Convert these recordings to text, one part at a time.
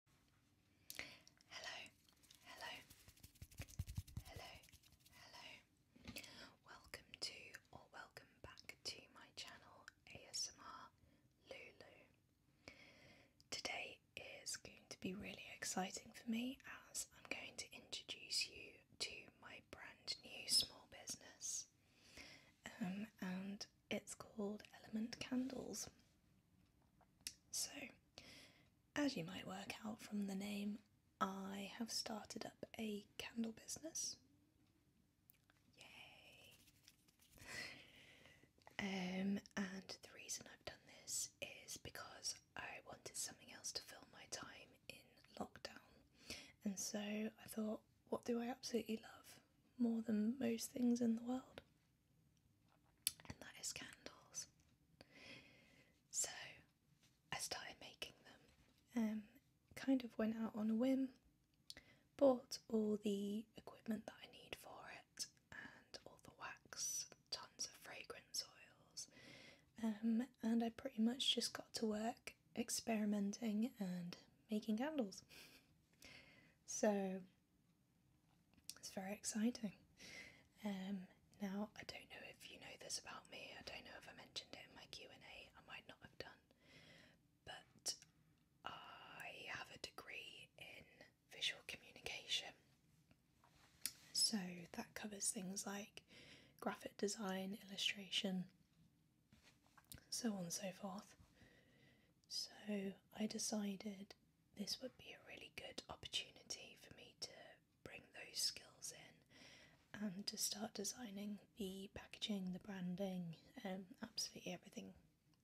Hello, hello, hello, hello. Welcome to or welcome back to my channel ASMR Lulu. Today is going to be really exciting for me as I'm going to introduce you to my brand new small business. Um, and it's called Element Candles. So, as you might work out from the name, I have started up a candle business. Yay! Um, and the reason I've done this is because I wanted something else to fill my time in lockdown. And so I thought, what do I absolutely love more than most things in the world? and that is candles. So I started making them, um, kind of went out on a whim, bought all the equipment that I need for it, and all the wax, tons of fragrance oils, um, and I pretty much just got to work experimenting and making candles. So it's very exciting. Um, now, I don't know if you know this about me. I don't know if I mentioned it in my Q&A. might not have done. But I have a degree in visual communication. So that covers things like graphic design, illustration, so on and so forth. So I decided this would be a really good opportunity for me to bring those skills in and to start designing the packaging, the branding, and um, absolutely everything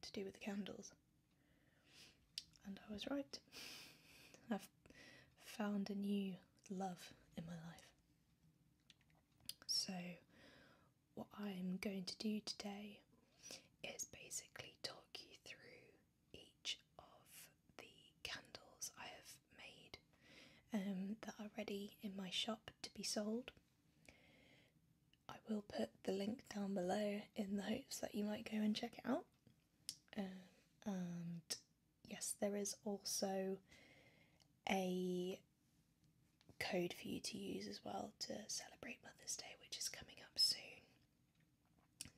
to do with the candles. And I was right. I've found a new love in my life. So, what I'm going to do today is basically talk you through each of the candles I have made um, that are ready in my shop to be sold. I will put the link down below in the hopes that you might go and check it out. Um, and yes, there is also a code for you to use as well to celebrate Mother's Day, which is coming up soon.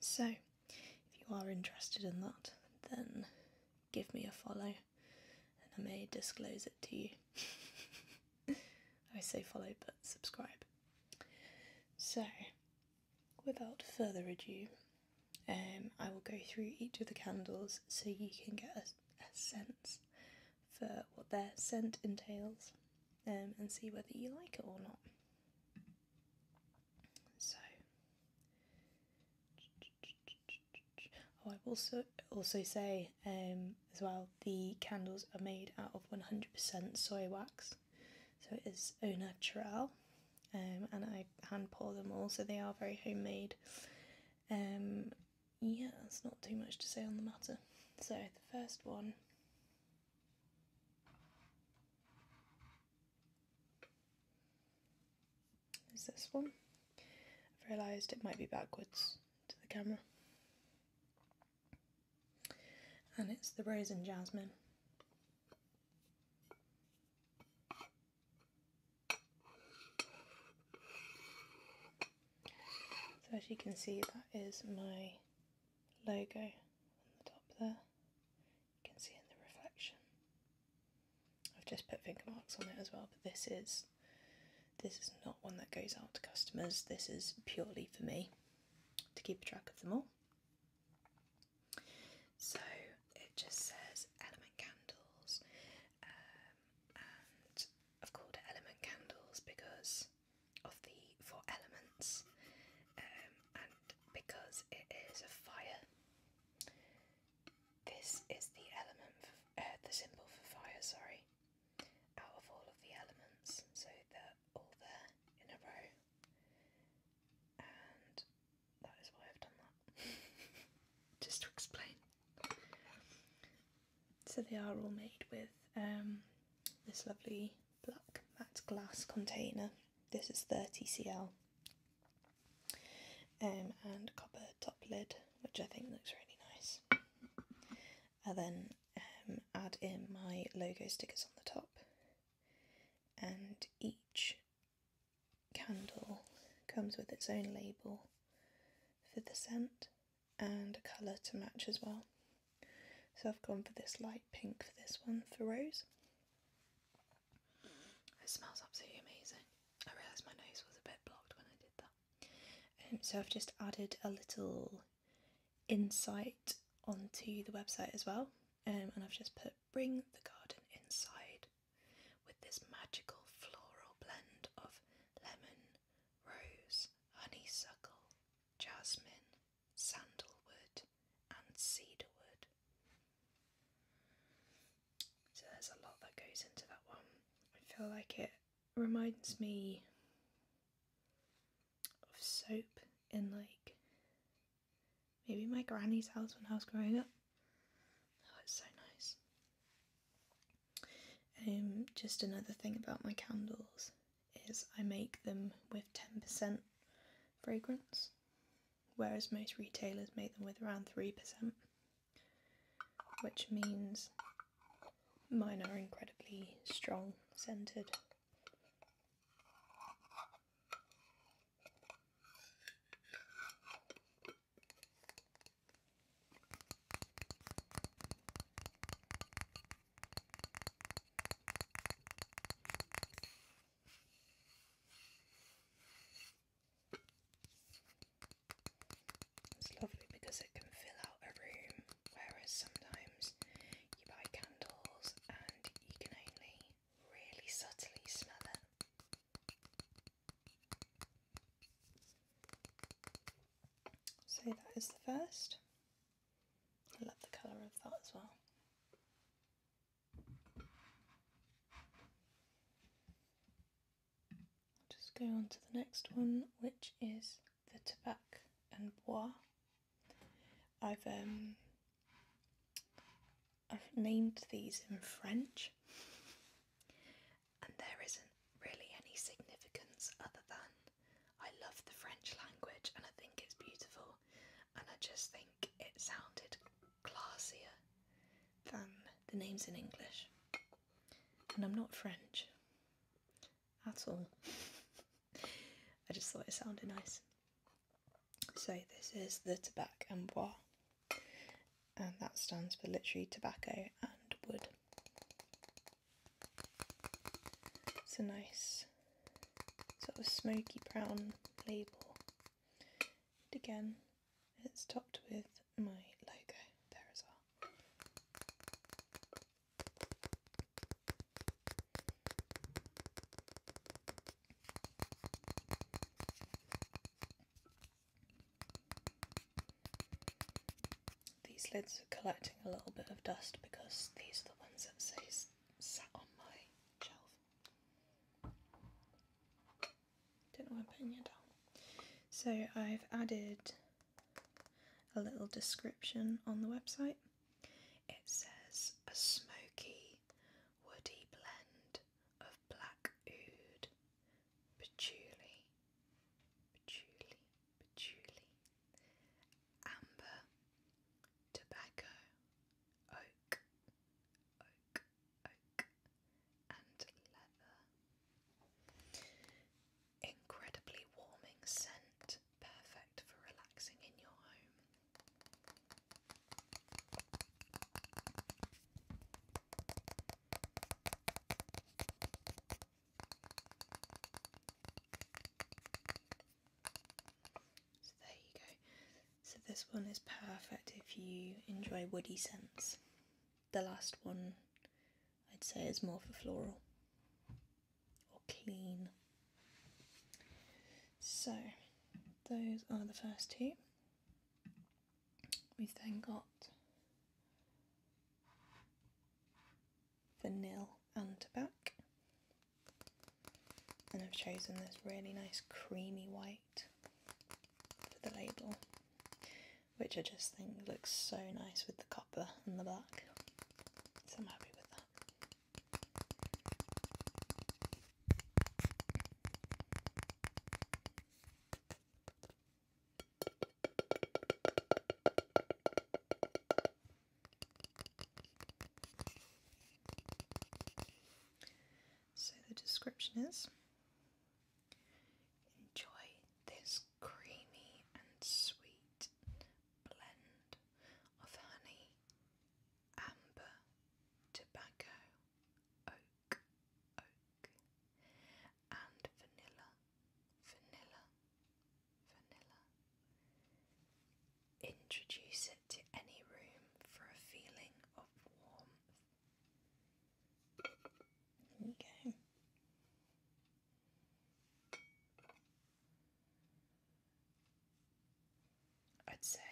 So, if you are interested in that, then give me a follow and I may disclose it to you. I say follow, but subscribe. So, without further ado, um, I will go through each of the candles so you can get a, a sense for what their scent entails um, and see whether you like it or not. So, oh, I also also say um, as well the candles are made out of 100% soy wax, so it is au natural, um, and I hand pour them all, so they are very homemade. Um, yeah, that's not too much to say on the matter. So the first one is this one? I've realised it might be backwards to the camera. And it's the rose and Jasmine. So as you can see that is my logo on the top there. You can see in the reflection. I've just put finger marks on it as well, but this is this is not one that goes out to customers. This is purely for me to keep track of them all. So it just says element candles, um, and I've element candles because of the four elements, um, and because it is a fire, this is the element, uh, the symbol for fire. Sorry, out of all of the elements, so they're all there in a row, and that is why I've done that, just to explain so they are all made with um, this lovely black matte glass container. This is 30cl um, and copper top lid, which I think looks really nice. And then um, add in my logo stickers on the top, and each candle comes with its own label for the scent and a colour to match as well. So I've gone for this light pink for this one, for Rose. It smells absolutely amazing. I realised my nose was a bit blocked when I did that. Um, so I've just added a little insight onto the website as well. Um, and I've just put bring the garden inside with this magical floral blend of lemon, rose, honeysuckle, jasmine, sandalwood, and cedarwood. So there's a lot that goes into that one. I feel like it reminds me of soap in like maybe my granny's house when I was growing up. Oh, it's so nice. Um, just another thing about my candles is I make them with 10% fragrance, whereas most retailers make them with around 3%, which means mine are incredibly strong scented. It's lovely because it can fill out a room, whereas sometimes you buy candles and you can only really subtly smell it. So that is the first. I love the colour of that as well. just go on to the next one, which is the Tabac and Bois. I've um, I've named these in French, and there is really any significance other than I love the French language and I think it's beautiful, and I just think it sounded classier than the names in English. And I'm not French at all. I just thought it sounded nice. So, this is the tabac and Bois, and that stands for literally tobacco and wood. It's a nice sort of smoky brown label. And again, it's topped with my logo there as well. These lids are collecting a little bit of dust because these are the ones that say sat on my shelf. Don't know why I'm putting it down. So I've added a little description on the website. It says a smoky, woody blend of black oud, patchouli, patchouli, patchouli, amber, tobacco, oak, oak, oak, and leather. Incredibly warming scent, perfect for relaxing in your home. So there you go. So this one is perfect if you enjoy woody scents. The last one I'd say is more for floral or clean. So those are the first two. We've then got vanilla and back. And I've chosen this really nice creamy white for the label, which I just think looks so nice with the copper and the black. So I'm happy with that. So the description is enjoy this creamy and sweet blend of honey, amber, tobacco, oak, oak, and vanilla, vanilla, vanilla. Introduce it to any room for a feeling of warmth. There we go. I'd say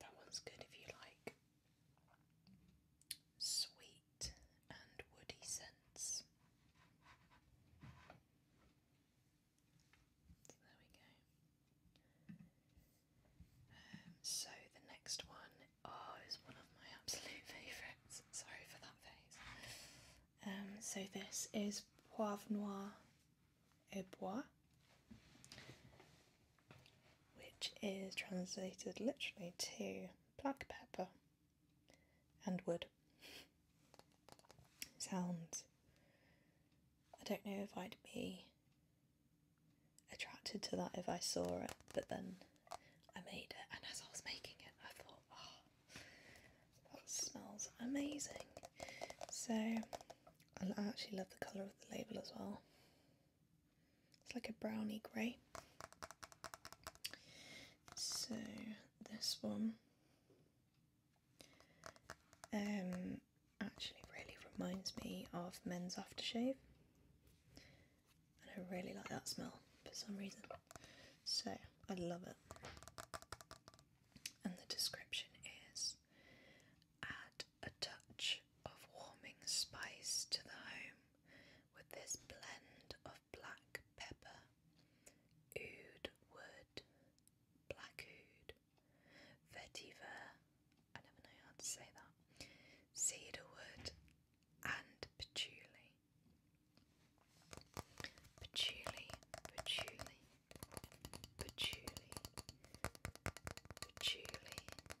that one's good if you like sweet and woody scents. there we go. Um, so the next one oh, is one of my absolute favourites. Sorry for that face. Um, so this is Poivre Noir et Bois which is translated literally to black pepper and wood. Sounds. I don't know if I'd be attracted to that if I saw it, but then I made it, and as I was making it, I thought, oh, that smells amazing. So I actually love the colour of the label as well. It's like a brownie grey. So this one um, actually really reminds me of men's aftershave. And I really like that smell for some reason. So I love it. And the description is add a touch of warming spice to the home with this blend of black pepper, oud wood, black oud, vetiver, I never know how to say that, cedarwood, and patchouli. Patchouli, patchouli, patchouli, patchouli, Oh,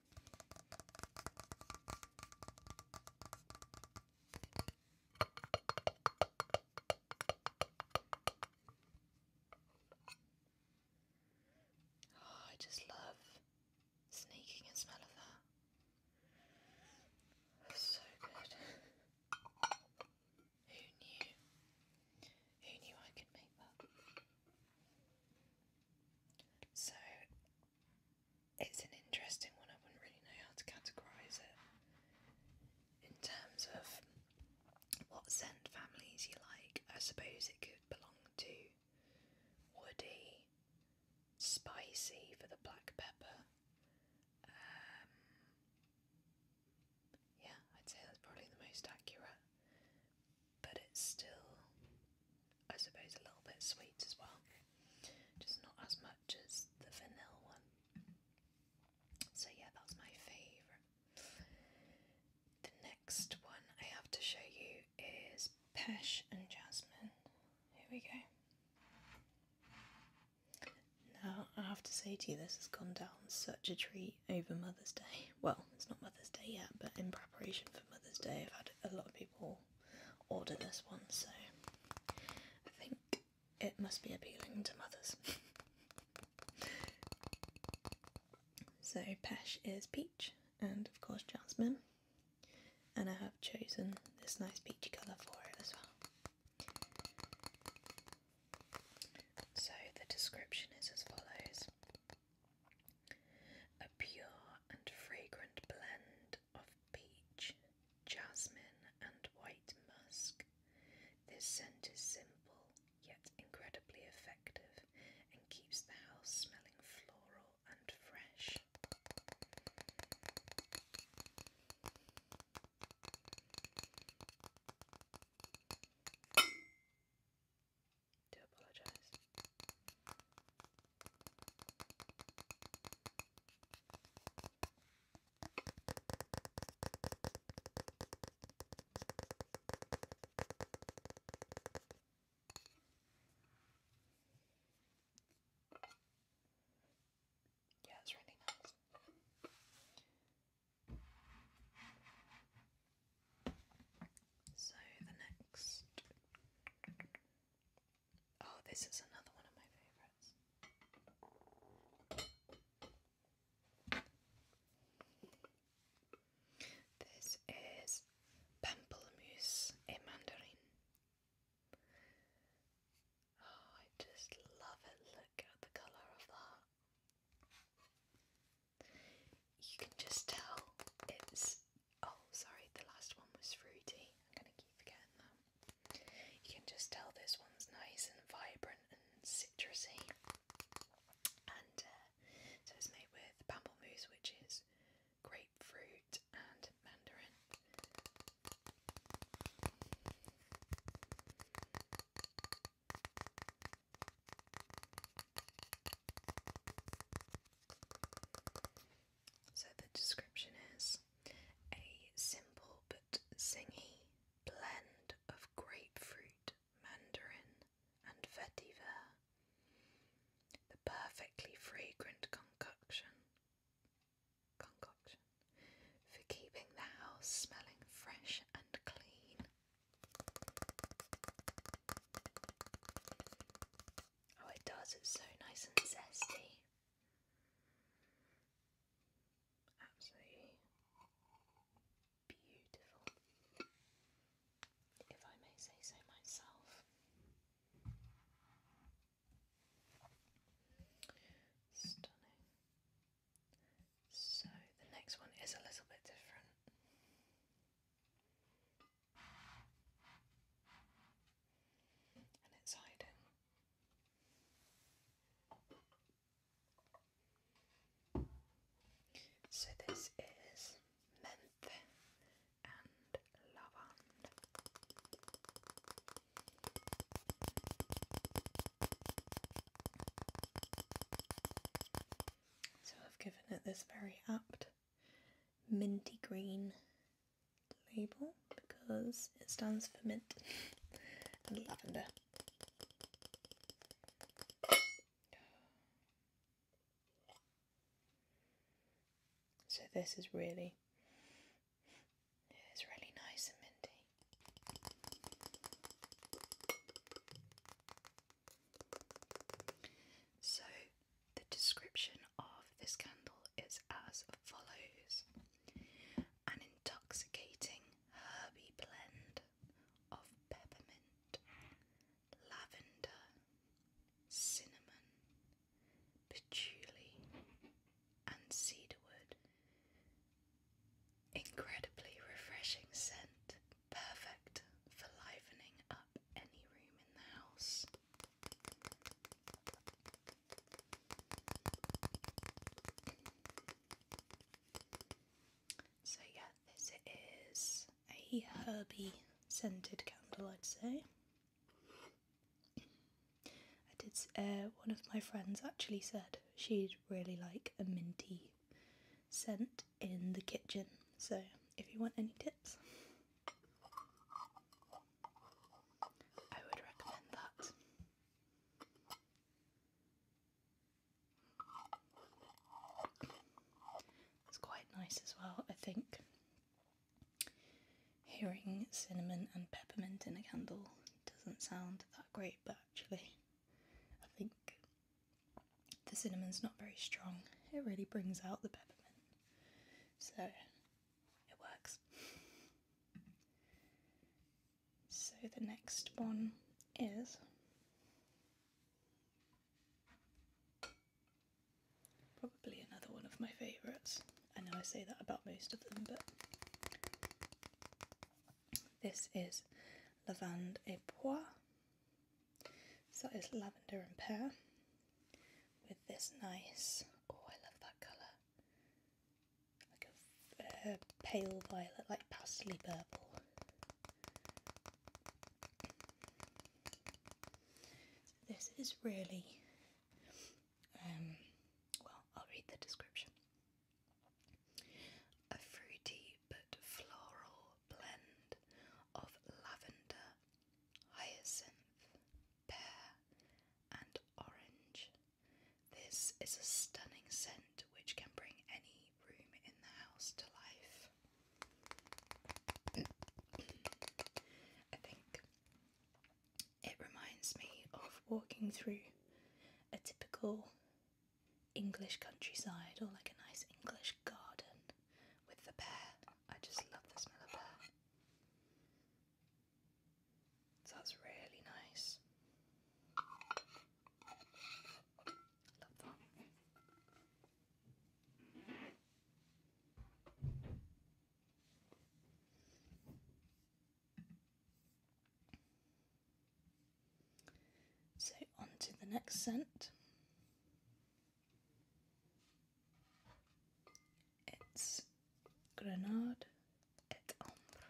I just love sneaking and smell of that. so good. Who knew? Who knew I could make that? So it's an interesting one. I wouldn't really know how to categorise it in terms of what scent families you like. I suppose it could belong to woody, spicy for the black pepper. Um, yeah, I'd say that's probably the most accurate but it's still, I suppose, a little bit sweet as well. Just not as much as the vanilla one. So, yeah, that's my favourite. The next one I have to show you is Pesh and Jasmine. Here we go. Now, I have to say to you, this has gone down such a treat over Mother's Day. Well, it's not Mother's Day yet, but in preparation for Mother's Day, I've had a lot of people order this one, so I think it must be appealing to mothers. so Pesh is peach and of course jasmine, and I have chosen this nice peachy colour for it as well. So the description is as follows. A pure and fragrant blend of peach, jasmine, and white musk. This scent is simple yet incredibly effective and keeps the house smelling floral and fresh do apologize. Yeah, it's really nice. So the next. Oh, this is another one of my favourites. This is Pamplemousse in Mandarin. Oh, I just love it. Look at the colour of that. You can just tell it's. Oh, sorry, the last one was fruity. I'm gonna keep forgetting that. You can just tell this one's nice and vibrant and citrusy. And uh, so it's made with pamplemousse, which is grapefruit and mandarin. So the description is a simple but zingy blend of grapefruit, mandarin, and vetiver. The perfectly fragrant concoction. Concoction for keeping the house smelling fresh and clean. Oh, it does, it's so nice and zesty. Absolutely beautiful, if I may say so myself. Stunning. So, the next one is a little bit different and it's hiding. So this is menthe and lavand. So I've given it this very apt minty green label because it stands for mint and lavender. So this is really it's really nice and minty. So, the description of this candle is as follows an intoxicating herby blend of peppermint, lavender, cinnamon, patchouli, and cedarwood. Incredibly refreshing scent, perfect for livening up any room in the house. So yeah, this is a herby scented candle, I'd say. I did. Uh, one of my friends actually said she'd really like a minty scent in the kitchen. So if you want any tips, I would recommend that. It's quite nice as well, I think. Hearing cinnamon and peppermint in a candle doesn't sound that great, but actually, I think the cinnamon's not very strong, it really brings out the peppermint. So it works. So the next one is probably another one of my favourites. I know I say that about most of them, but this is Lavande et Pois so it's lavender and pear with this nice, oh I love that colour, like a uh, pale violet, like pastel purple. this is really, um, well I'll read the description. A fruity but floral blend of lavender, hyacinth, pear, and orange. This is a stunning scent which can bring any room in the house to life. I think it reminds me of walking through a typical English countryside or like a nice English garden with the pear. I just love the smell of pear. So really nice. Love that. So on to the next scent. It's Grenade et Ambre.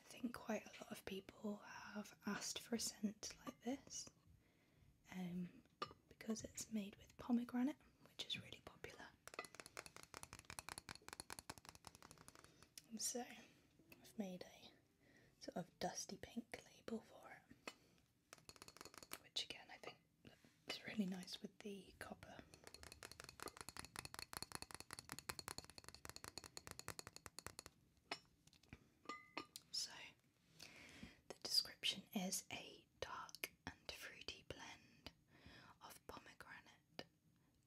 I think quite a lot of people have asked for a scent like this um, because it's made with pomegranate which is really popular. so I've made a sort of dusty pink label for it, which again I think looks really nice with the copper. So the description is a dark thick and fruity blend of pomegranate,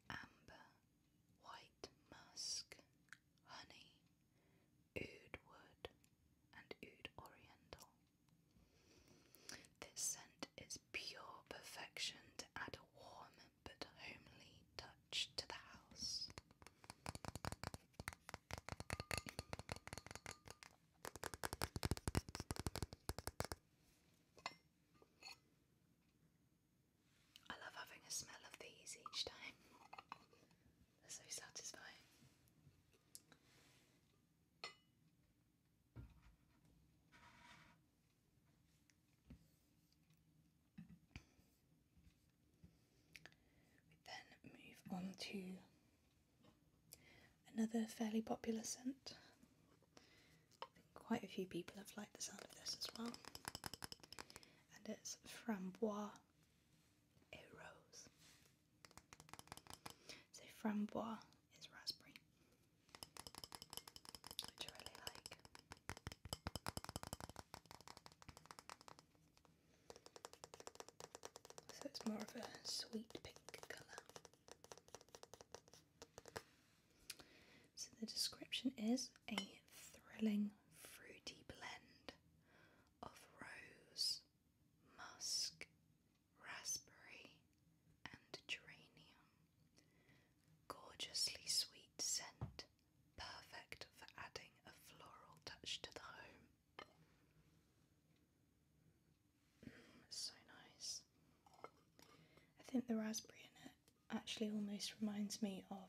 amber, white musk, honey, oud wood, and oud oriental. This scent is pure perfection to add a warm but homely touch to the house. I love having a smell of these each time, they're so satisfying. We then move on to another fairly popular scent. quite a few people have liked the sound of this as well. And it's Framboise et Rose. So Framboise is raspberry, which I really like. So it's more of a sweet pink colour. So the description is a thrilling fruity blend of rose, musk, raspberry, and geranium. Gorgeously sweet scent, perfect for adding a floral touch to the home so nice. I think the raspberry in it actually almost reminds me of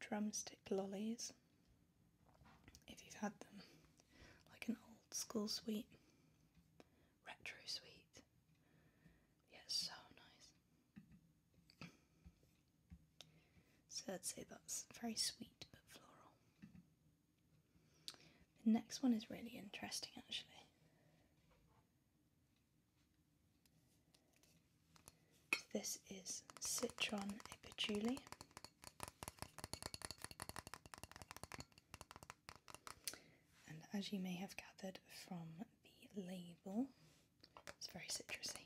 drumstick lollies if you've had them, like an old school sweet, retro sweet. Yeah, so nice. So I'd say that's very sweet but floral. The next one is really interesting actually. This is Citron Epituli. And as you may have gathered from the label, it's very citrusy.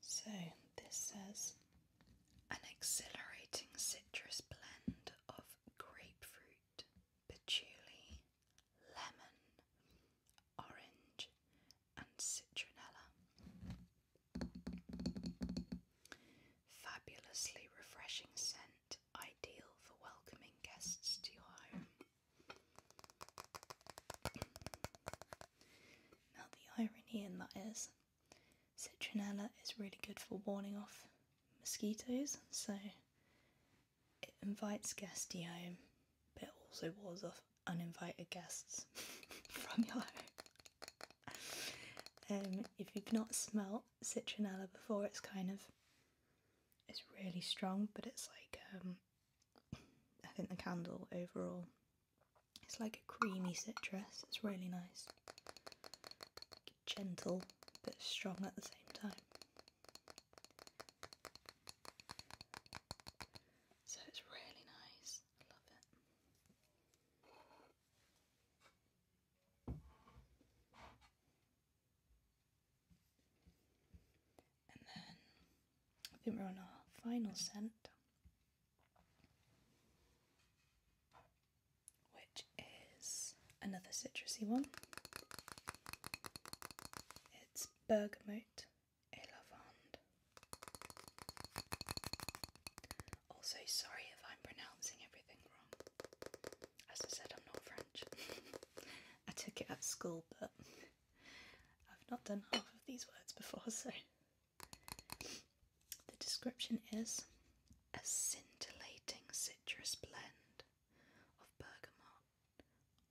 So, this says an exhilarating citrus blend of grapefruit, patchouli, lemon, orange, and citronella. Fabulously refreshing scent ideal for welcoming guests to your home. Now, the irony in that is, citronella is really good for warning off mosquitoes, so it invites guests to your home, but also warns off uninvited guests from your home. Um, if you've not smelt citronella before, it's kind of it's really strong, but it's like um, I think the candle overall. It's like a creamy citrus. It's really nice, gentle but strong at the same time. So it's really nice. I love it. And then I think we're on our final scent, which is another citrusy one. It's bergamot et lavande. Also, sorry if I'm pronouncing everything wrong. As I said, I'm not French. I took it at school, but I've not done half of these words before, so. The description is a scintillating citrus blend of bergamot,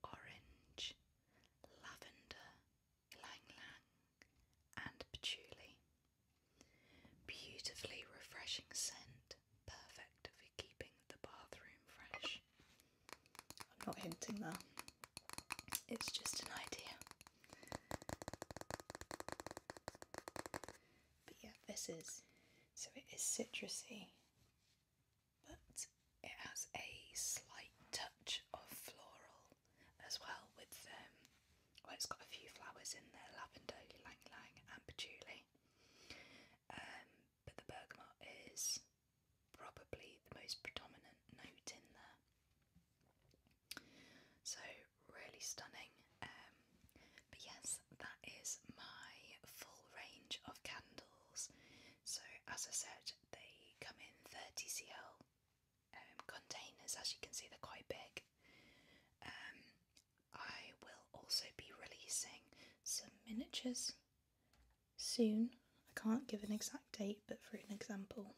orange, lavender, ylang and patchouli. Beautifully refreshing scent perfect, for keeping the bathroom fresh. I'm not hinting there, it's just an idea. But yeah, this is so it is citrusy, but it has a slight touch of floral as well with um well it's got a few flowers in there, lavender, ylang and patchouli. Um but the bergamot is probably the most predominant note in there. So, really stunning. Um, but yes, that is my full range of candles. So, as I said, they come in 30cl um, containers. As you can see, they're quite big. Um, I will also be releasing some miniatures soon. I can't give an exact date, but for an example,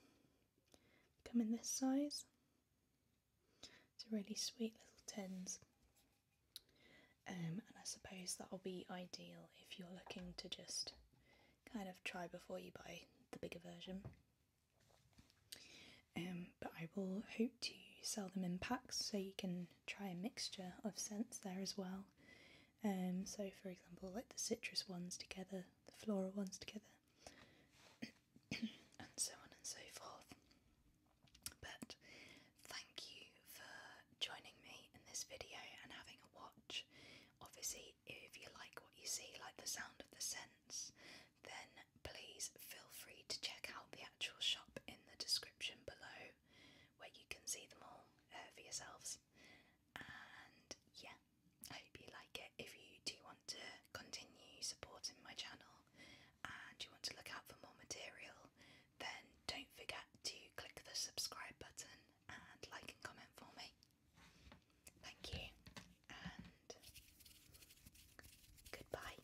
come in this size. It's a really sweet little tins. Um, and I suppose that'll be ideal if you're looking to just kind of try before you buy the bigger version. Um, but I will hope to sell them in packs so you can try a mixture of scents there as well. Um, so, for example, like the citrus ones together, the floral ones together, and so on and so forth. But thank you for joining me in this video and having a watch. Obviously, if you like what you see, like the sound of the scents, then please feel free to check out the actual shop in the description below where you can see them all uh, for yourselves. And yeah, I hope you like it. If you do want to continue supporting my channel and you want to look out for more material, then don't forget to click the subscribe button and like and comment for me. Thank you and goodbye.